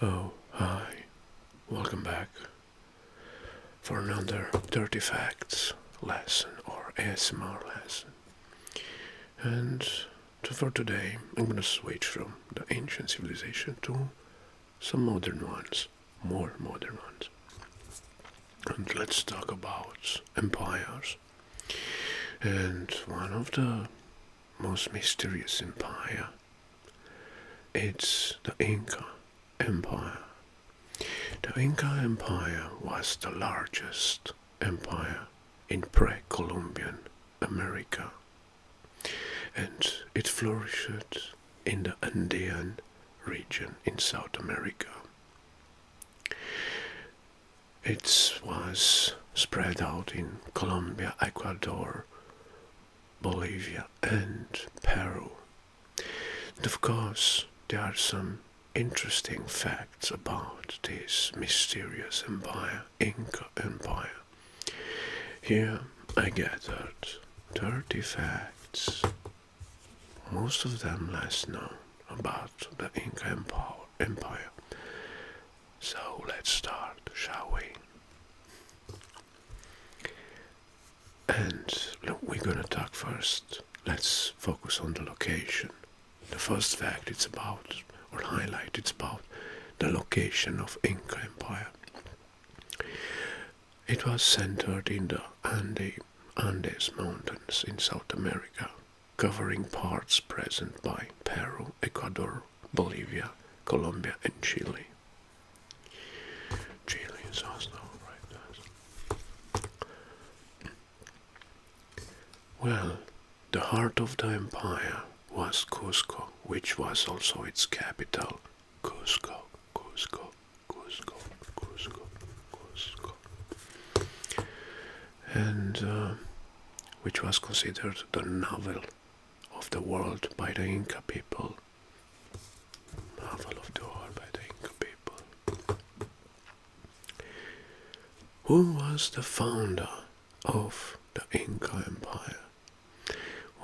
Oh, hi. Welcome back for another 30 Facts lesson or ASMR lesson. And for today, I'm gonna switch from the ancient civilization to some modern ones, more modern ones. And let's talk about empires and one of the most mysterious empire it's the Inca Empire. The Inca Empire was the largest empire in pre-Columbian America and it flourished in the Andean region in South America. It was spread out in Colombia, Ecuador, Bolivia, and Peru. And of course, there are some interesting facts about this mysterious empire, Inca Empire. Here I gathered 30 facts, most of them less known, about the Inca Empire empire. So let's start, shall we? And we're gonna talk first. Let's focus on the location. The first fact it's about, or highlight, it's about the location of Inca Empire. It was centered in the Andes Mountains in South America covering parts present by Peru, Ecuador, Bolivia, Colombia, and Chile. Chile is also right nice. Well, the heart of the empire was Cusco, which was also its capital, Cusco, Cusco, Cusco, Cusco, Cusco and uh, which was considered the novel of the world by the Inca people. Novel of the world by the Inca people. Who was the founder of the Inca Empire?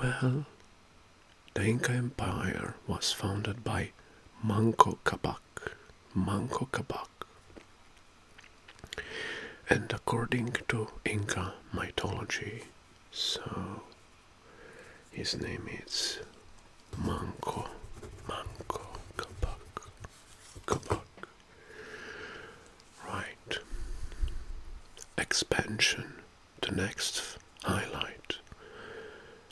Well, the Inca Empire was founded by Manco Capac Manko Kabak, And according to Inca mythology, so his name is Manko Manco Cabac, Cabac. Right. Expansion, the next highlight.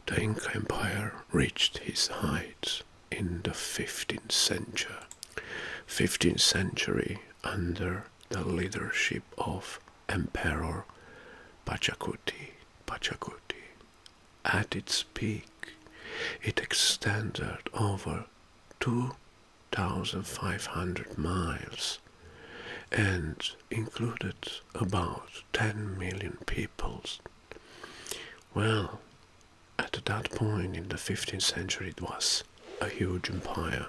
The Inca Empire reached its height in the 15th century 15th century under the leadership of emperor Pachacuti, pachakuti at its peak it extended over 2500 miles and included about 10 million peoples well, at that point in the 15th century, it was a huge empire.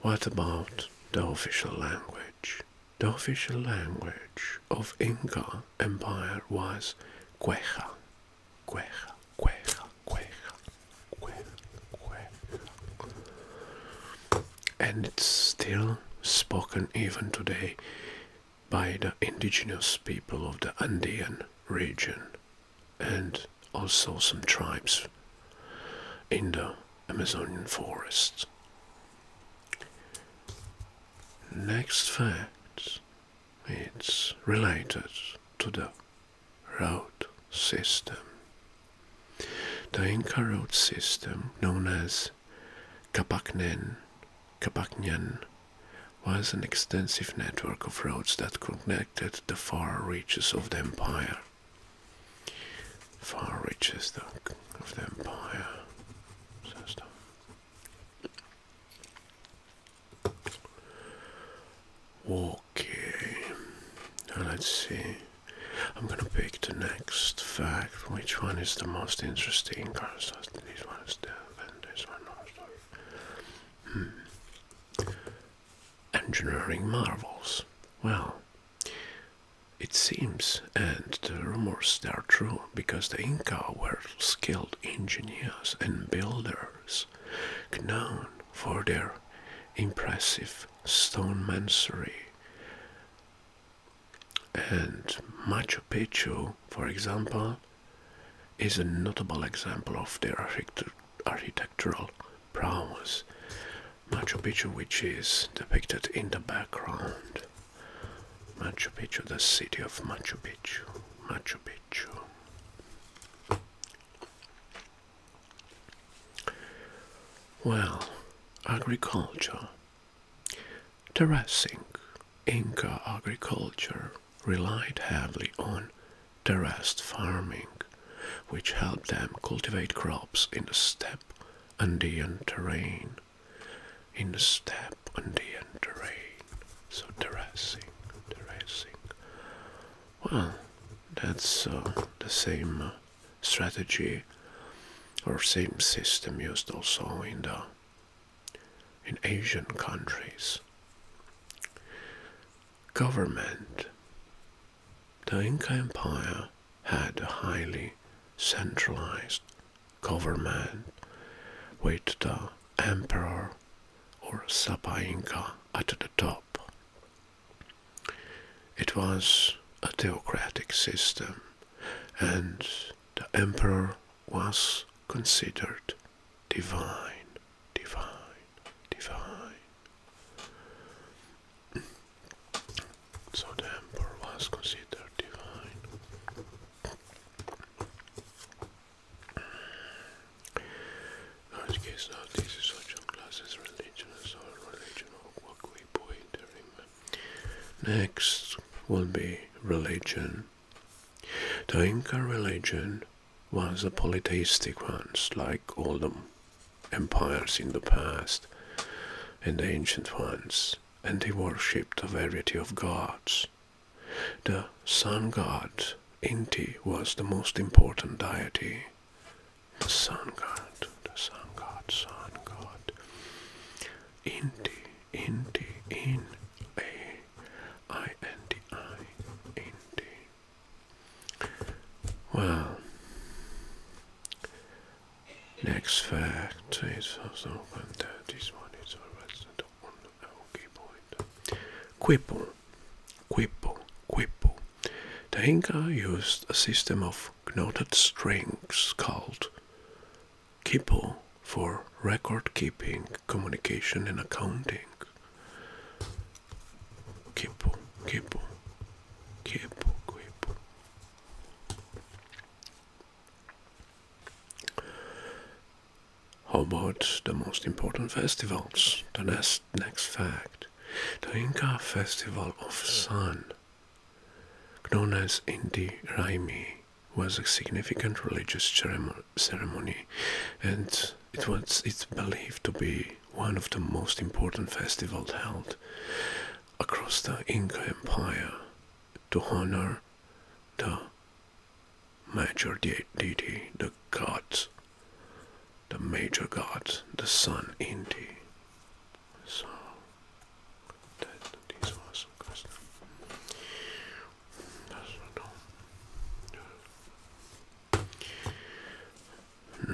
What about the official language? The official language of Inca Empire was Quechua. Cueja cueja, cueja, cueja, cueja. And it's still spoken even today by the indigenous people of the Andean region and also some tribes in the Amazonian forest. Next fact it's related to the road system. The Inca road system, known as Capacnen, Capacnan, was an extensive network of roads that connected the far reaches of the empire. Far reaches of the empire. Okay, now let's see. I'm gonna pick the next fact. Which one is the most interesting? Because this one is death this one hmm. Engineering marvels. Well, it seems, and the rumors are true, because the Inca were skilled engineers and builders, known for their impressive stone stonemasonry. And Machu Picchu, for example, is a notable example of their architectural prowess. Machu Picchu, which is depicted in the background. Machu Picchu, the city of Machu Picchu. Machu Picchu. Well, agriculture. Terracing. Inca agriculture relied heavily on terraced farming, which helped them cultivate crops in the steppe Andean terrain. In the steppe Andean terrain. So terracing, terracing. Well, that's uh, the same uh, strategy or same system used also in the in Asian countries. Government. The Inca Empire had a highly centralized government with the emperor or Sapa Inca at the top. It was a theocratic system and the emperor was considered divine, divine, divine. So the emperor was considered divine. Next will be religion. The Inca religion was a polytheistic one, like all the empires in the past and the ancient ones, and they worshipped a variety of gods. The sun god Inti was the most important deity. The sun god, the sun god, sun god. Inti, Inti, in a i n t i, Inti. Well, next fact is also that this one is always the okay boy. Quipple, quipple, quipple. The Inca used a system of knotted strings called quipple for record keeping, communication, and accounting. Quipple, quipple, quipple, quipple. How about the most important festivals? The next, next fact. The Inca Festival of Sun, known as Inti Raimi, was a significant religious ceremony and it was it's believed to be one of the most important festivals held across the Inca Empire to honor the major de deity, the gods, the major gods, the sun Inti. So that this was custom. That's not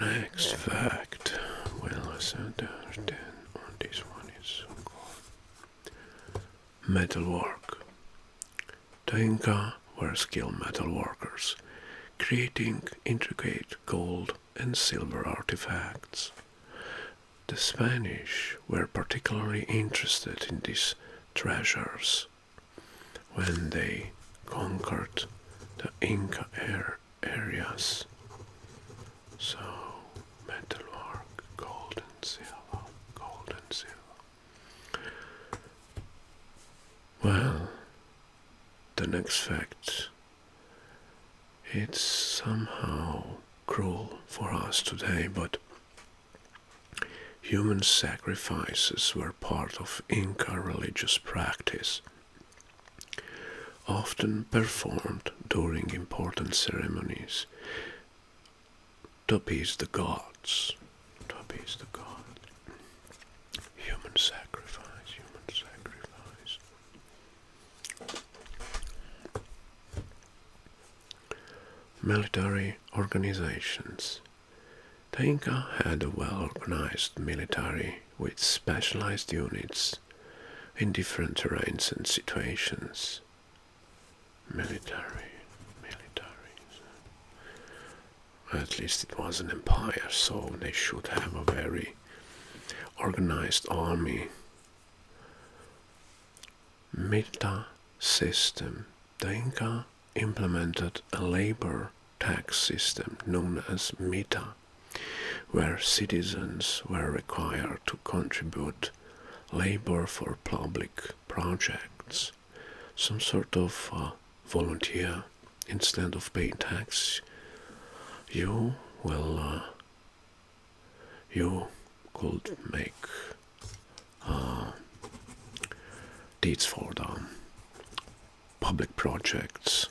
all. Next fact, well, I said there then on this one is so called metalwork. The Inca were skilled metalworkers, creating intricate gold and silver artifacts. The Spanish were particularly interested in these treasures when they conquered the Inca areas. So, metalwork, gold and silver, gold and silver. Well, the next fact. It's somehow cruel for us today, but human sacrifices were part of Inca religious practice, often performed during important ceremonies to appease the gods. To appease the gods. Human sacrifice, human sacrifice. Military organizations. The Inca had a well-organized military with specialized units in different terrains and situations. Military, military. At least it was an empire, so they should have a very organized army. Milta system. The implemented a labor tax system known as Mita, where citizens were required to contribute labor for public projects some sort of uh, volunteer instead of paying tax, you will uh, you could make uh, deeds for the public projects.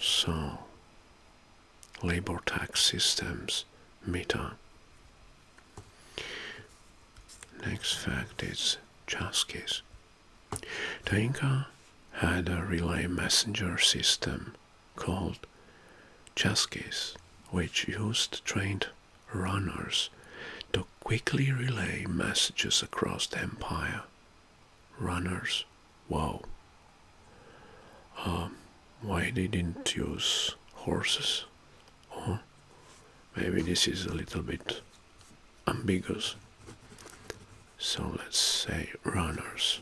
So, labor tax systems, meta Next fact is Chaskis. The Inca had a relay messenger system called Chaskis, which used trained runners to quickly relay messages across the empire. Runners, wow. Um, why they didn't use horses or maybe this is a little bit ambiguous so let's say runners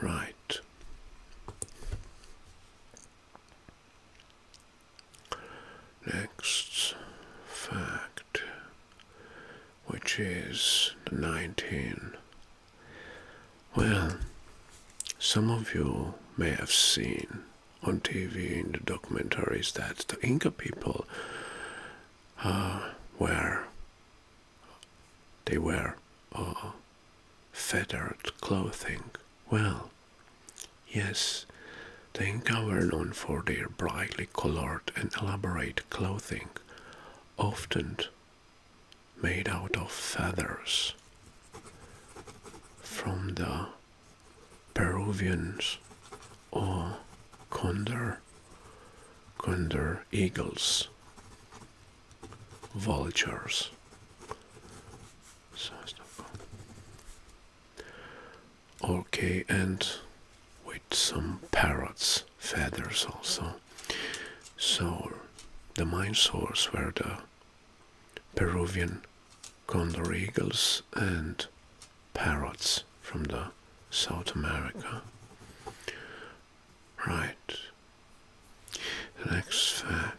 right next fact which is the 19 well, some of you may have seen on TV in the documentaries that the Inca people uh, were they wear uh, feathered clothing. Well, yes, the Inca were known for their brightly colored and elaborate clothing, often made out of feathers from the Peruvians or condor, condor eagles, vultures. okay, and with some parrots' feathers also. So the main source were the Peruvian condor eagles and parrots from the South America. Right. next fact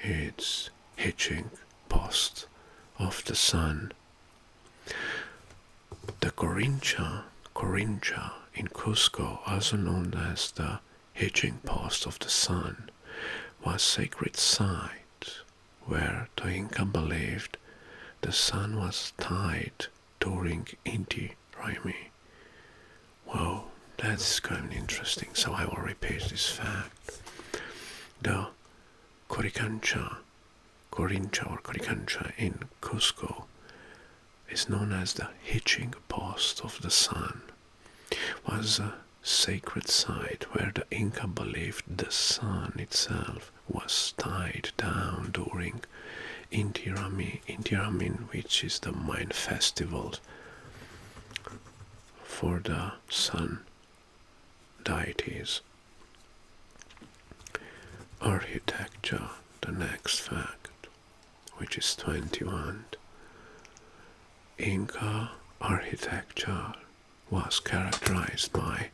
it's hitching post of the sun. The Corincha Corincha in Cusco, also known as the Hitching Post of the Sun, was a sacred site where the Inca believed the sun was tied during Inti Raymi. Wow, that's kind of interesting. So I will repeat this fact. The Coricancha, Corincha or Coricancha in Cusco is known as the hitching post of the sun, was a sacred site where the Inca believed the sun itself was tied down during Intiramin, Intiramin which is the main festival for the sun deities. Architecture, the next fact which is 21. Inca architecture was characterized by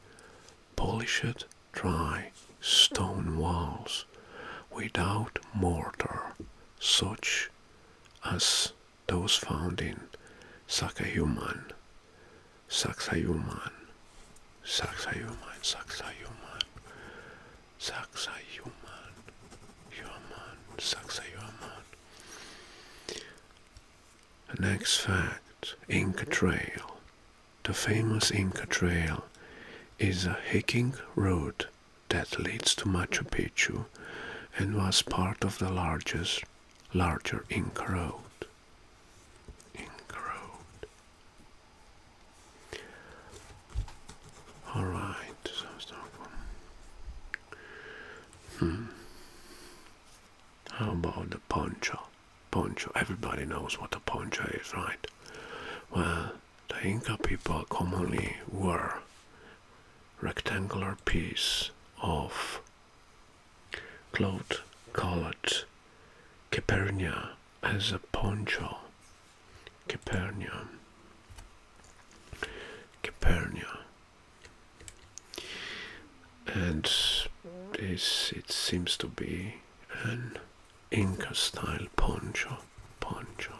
polished dry stone walls without mortar, such as those found in Sacsayhuaman, Sacsayhuaman, Sacsayhuaman, Sacsayhuaman, Saksa Yuman, Yuman, Saksa Yuman. The next fact, Inca Trail. The famous Inca Trail is a hiking road that leads to Machu Picchu and was part of the largest, larger Inca Road. Inca Road. All right, so Stockholm. Hmm. How about the poncho? Poncho. Everybody knows what a poncho is, right? Well, the Inca people commonly wore rectangular piece of cloth colored caperna as a poncho. Capernaum. Capernaum. And this, it seems to be an Inca style poncho. Poncho.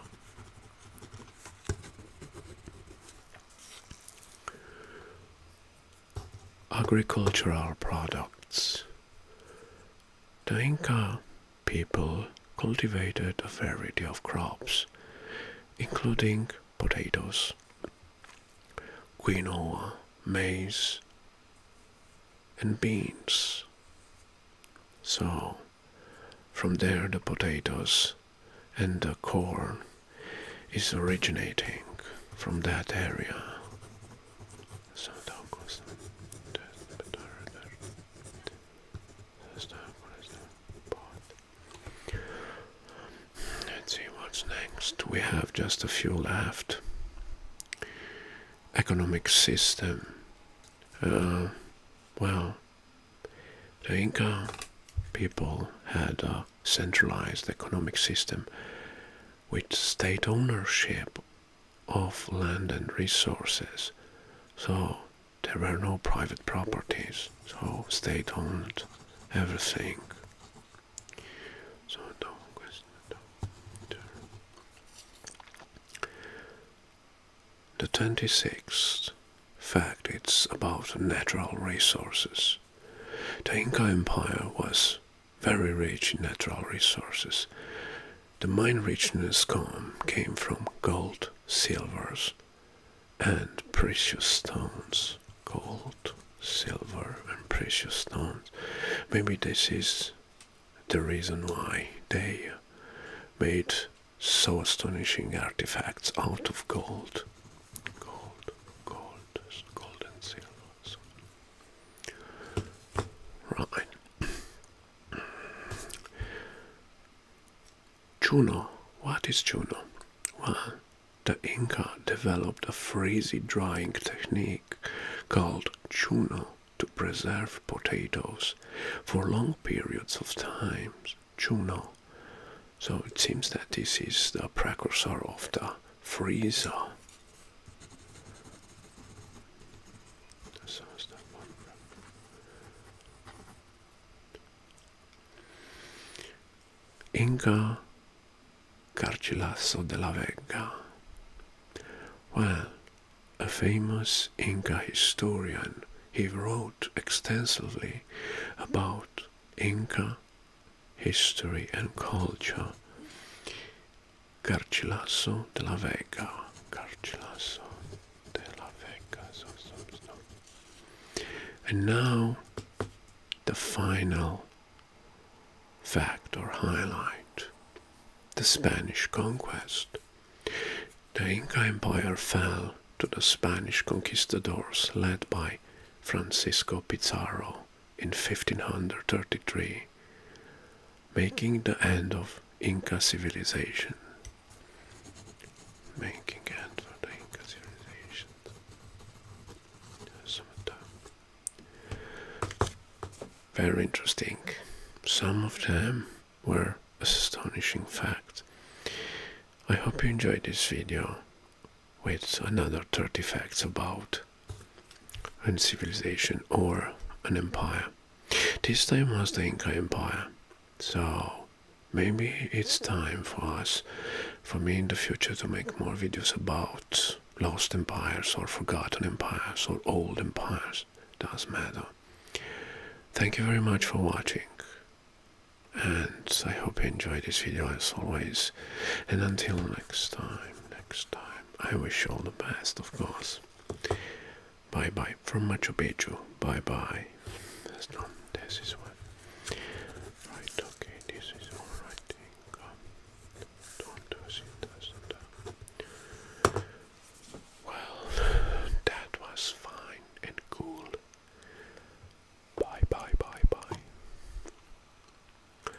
Agricultural products. The Inca people cultivated a variety of crops, including potatoes, quinoa, maize, and beans. So, from there, the potatoes and the corn is originating from that area. Sağdan test bedöver. Sağdan But let's see what's next. We have just a few left. Economic system. Uh, well, the Inca people had a centralized economic system with state ownership of land and resources. So there were no private properties, so state owned everything. So The 26th fact it's about natural resources. The Inca Empire was very rich in natural resources. The mine richness came from gold, silvers, and precious stones. Gold, silver, and precious stones. Maybe this is the reason why they made so astonishing artifacts out of gold. Gold, gold, gold and silver. Right. Chuno. What is Chuno? Well, the Inca developed a freezing drying technique called Chuno to preserve potatoes for long periods of time. Chuno. So it seems that this is the precursor of the freezer. That sounds that wonderful. Inca Garcilaso de la Vega. Well, a famous Inca historian, he wrote extensively about Inca history and culture. Garcilaso de la Vega. Garcilaso de la Vega. And now the final fact or highlight the Spanish conquest. The Inca Empire fell to the Spanish conquistadors led by Francisco Pizarro in 1533, making the end of Inca civilization. Making end of the Inca civilization. Very interesting. Some of them were astonishing facts. I hope you enjoyed this video with another 30 facts about and civilization or an empire. This time was the Inca Empire. So maybe it's time for us, for me in the future to make more videos about lost empires or forgotten empires or old empires. does matter. Thank you very much for watching and I hope you enjoyed this video as always and until next time, next time. I wish all the best, of course. Bye bye from Machu Picchu. Bye bye. That's not, this is what. Right, okay, this is alright. Don't do it. Well, that was fine and cool. Bye bye bye bye.